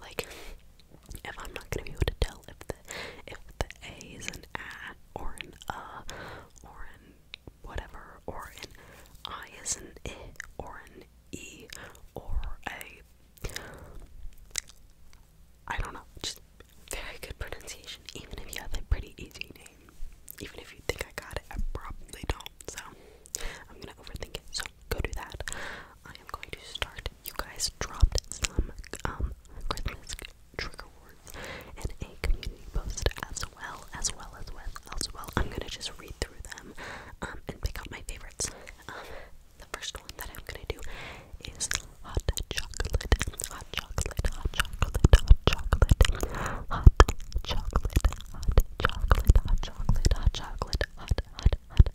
like, if I'm not gonna be able to tell if the if the A is an ah or an uh or an whatever or an I is an I or an E or a I don't know, just very good pronunciation, even if you have a pretty easy name. Even if you think I got it, I probably don't. So I'm gonna overthink it go do that. I am going to start. You guys dropped some um Christmas trigger words in a community post as well as well as well as well. I'm gonna just read through them um and pick out my favorites. Um the first one that I'm gonna do is hot chocolate, hot chocolate, hot chocolate, hot chocolate, hot chocolate, hot chocolate, hot chocolate, hot chocolate, hot hot hot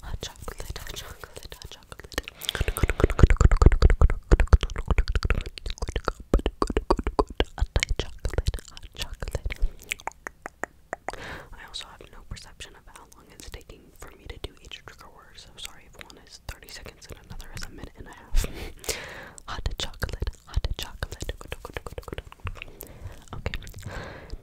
hot chocolate, hot chocolate, hot chocolate. Hot chocolate, hot chocolate. I also have no perception of how long it's taking for me to do each trigger word, so sorry if one is 30 seconds and another is a minute and a half. hot chocolate, hot chocolate. Okay.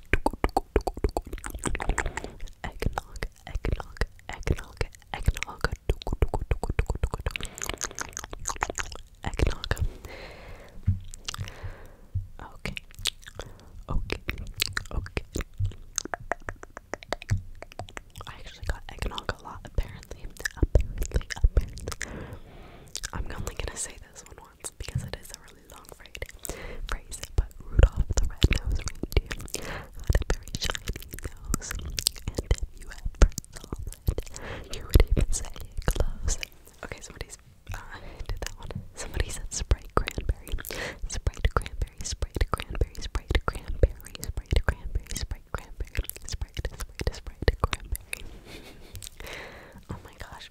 Eggnog, eggnog, eggnog, eggnog. Eggnog. Okay. Okay. Okay. I actually got eggnog a lot apparently. Apparently, apparently. I'm only gonna say this one because it is a really long phrase. but Rudolph the Red-Nosed Reindeer had a very shiny nose, and if you ever saw it, you would even say it glows. Okay, somebody's uh, that one. Somebody said Sprite Cranberry, Sprite Cranberry, Sprite Cranberry, Sprite Cranberry, Sprite Cranberry, Sprite Cranberry, Sprite, Sprite, Sprite Cranberry. oh my gosh,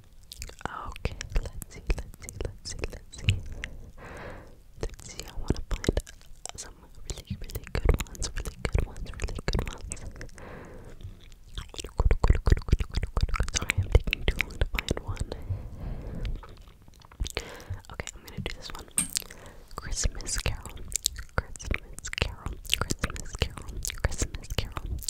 Okay, let's see, let's see, let's see, let's see. Let's see, I wanna find some really, really good ones, really good ones, really good ones. Sorry, I'm taking too long to find one. Okay, I'm gonna do this one. Christmas Carol. Christmas Carol. Christmas Carol. Christmas Carol.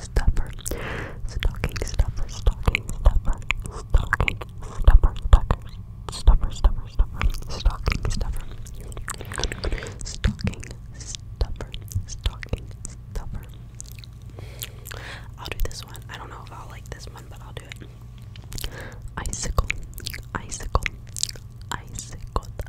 stuffer, stocking stuffer, stocking stuffer, stocking stuffer, stuffer, stuffer, stuffer, stocking stuffer, stocking stuffer, stocking stuffer. I'll do this one. I don't know if I'll like this one, but I'll do it. Icicle, icicle, icicle,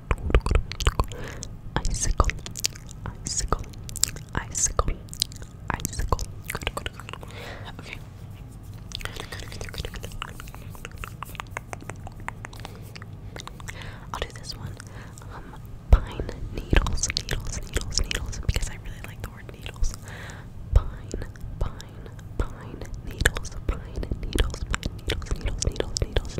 Icicle, icicle, icicle, icicle. Good, good, good. Okay. I'll do this one. Um, pine needles, needles, needles, needles, because I really like the word needles. Pine, pine, pine, needles, pine, needles, pine, needles, needles, needles, needles,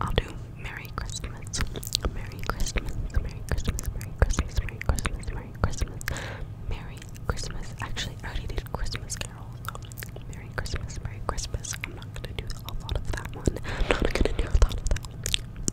I'll do Merry Christmas, Merry Christmas, Merry Christmas, Merry Christmas, Merry Christmas, Merry Christmas, Actually, I already did Christmas Carol. Merry Christmas, Merry Christmas. I'm not gonna do a lot of that one. I'm not gonna do a lot of that one.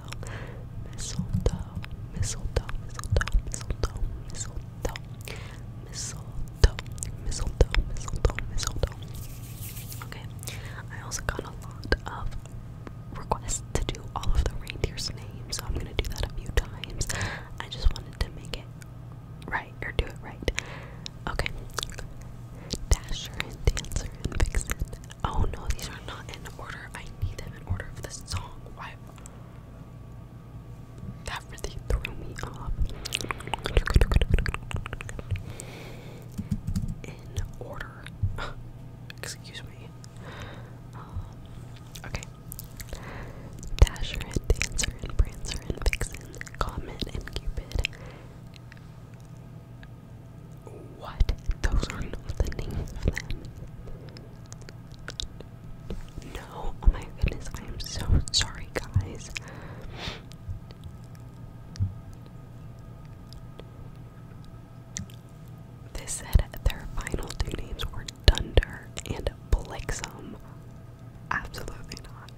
mistletoe, mistletoe, mistletoe, mistletoe, mistletoe, mistletoe, mistletoe, mistletoe, mistletoe. Okay, I also got a lot of requests to do all of the reindeer's names, so I'm gonna do that a few times. I just wanted to make it right or do it right. Okay, Dasher and Dancer and Vixen, Oh no, these are not in order. I need them in order for the song. Why? That really threw me off. In order. Excuse me. Um, okay. Dasher and Dancer and Prancer and Vixen, Comet and Cupid, what? Those are not the names of them. No, oh my goodness, I am so sorry, guys. This said their final two names were Dunder and Blixum. Absolutely not.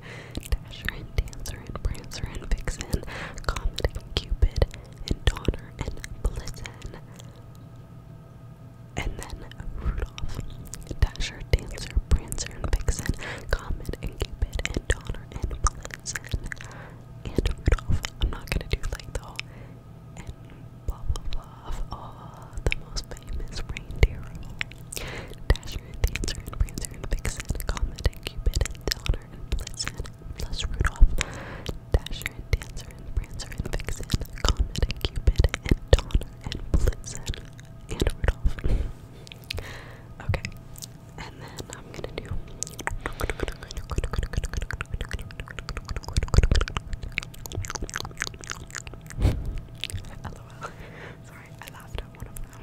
Dasher and Dancer and Prancer and Vixen, Comet and Cupid, and Donner and Blitzen. And then Rudolph, Dasher, Dancer, Prancer, Vixen, Comet, Cupid, and Donner, and Blitzen, and Rudolph. I'm not gonna do like the and blah blah blah of the most famous reindeer Dasher, Dancer, Prancer, Vixen, Comet, Cupid, and Donner, and Blitzen, plus Rudolph, Dasher and Dancer and Prancer and Vixen, Comet and Cupid and Donner and Blitzen and Rudolph. okay, and then I'm gonna do. LOL. Sorry, I laughed at one of them.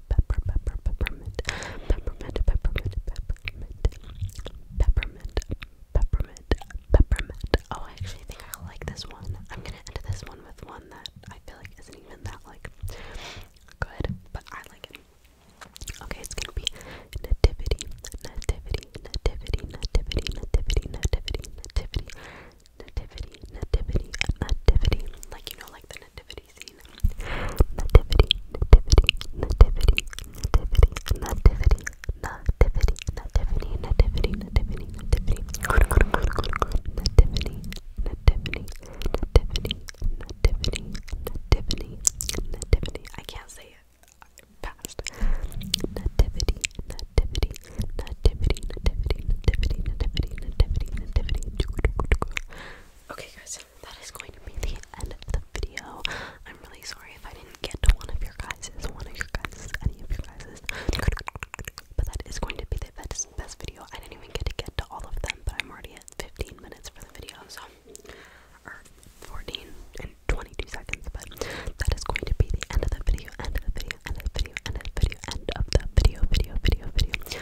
pepper, pepper, peppermint, peppermint, peppermint, peppermint, peppermint, peppermint, peppermint. Oh, I actually think I like this one. I'm gonna end this one with one that I feel like isn't even that like good, but I like it. Okay, it's gonna be nativity, nativity, nativity, nativity, nativity, nativity, nativity, nativity, nativity, nativity. Like you know, like the nativity nativity Nativity, nativity, nativity, nativity, nativity, nativity, nativity, nativity, nativity, nativity, I can't say it. Past nativity, nativity, nativity, nativity, nativity, nativity, nativity, nativity. Okay, guys, that is going to be the end of the video. I'm really sorry if I didn't get to one of your guys's, one of your guys's, any of your guys's. But that is going to be the best, best video. I didn't even get to get to all of them, but I'm already at 15 minutes for the video, so or 14 and 22 seconds. But that is going to be the end of the video, end of the video, end of the video, end of the video, end of the video, video, video, video.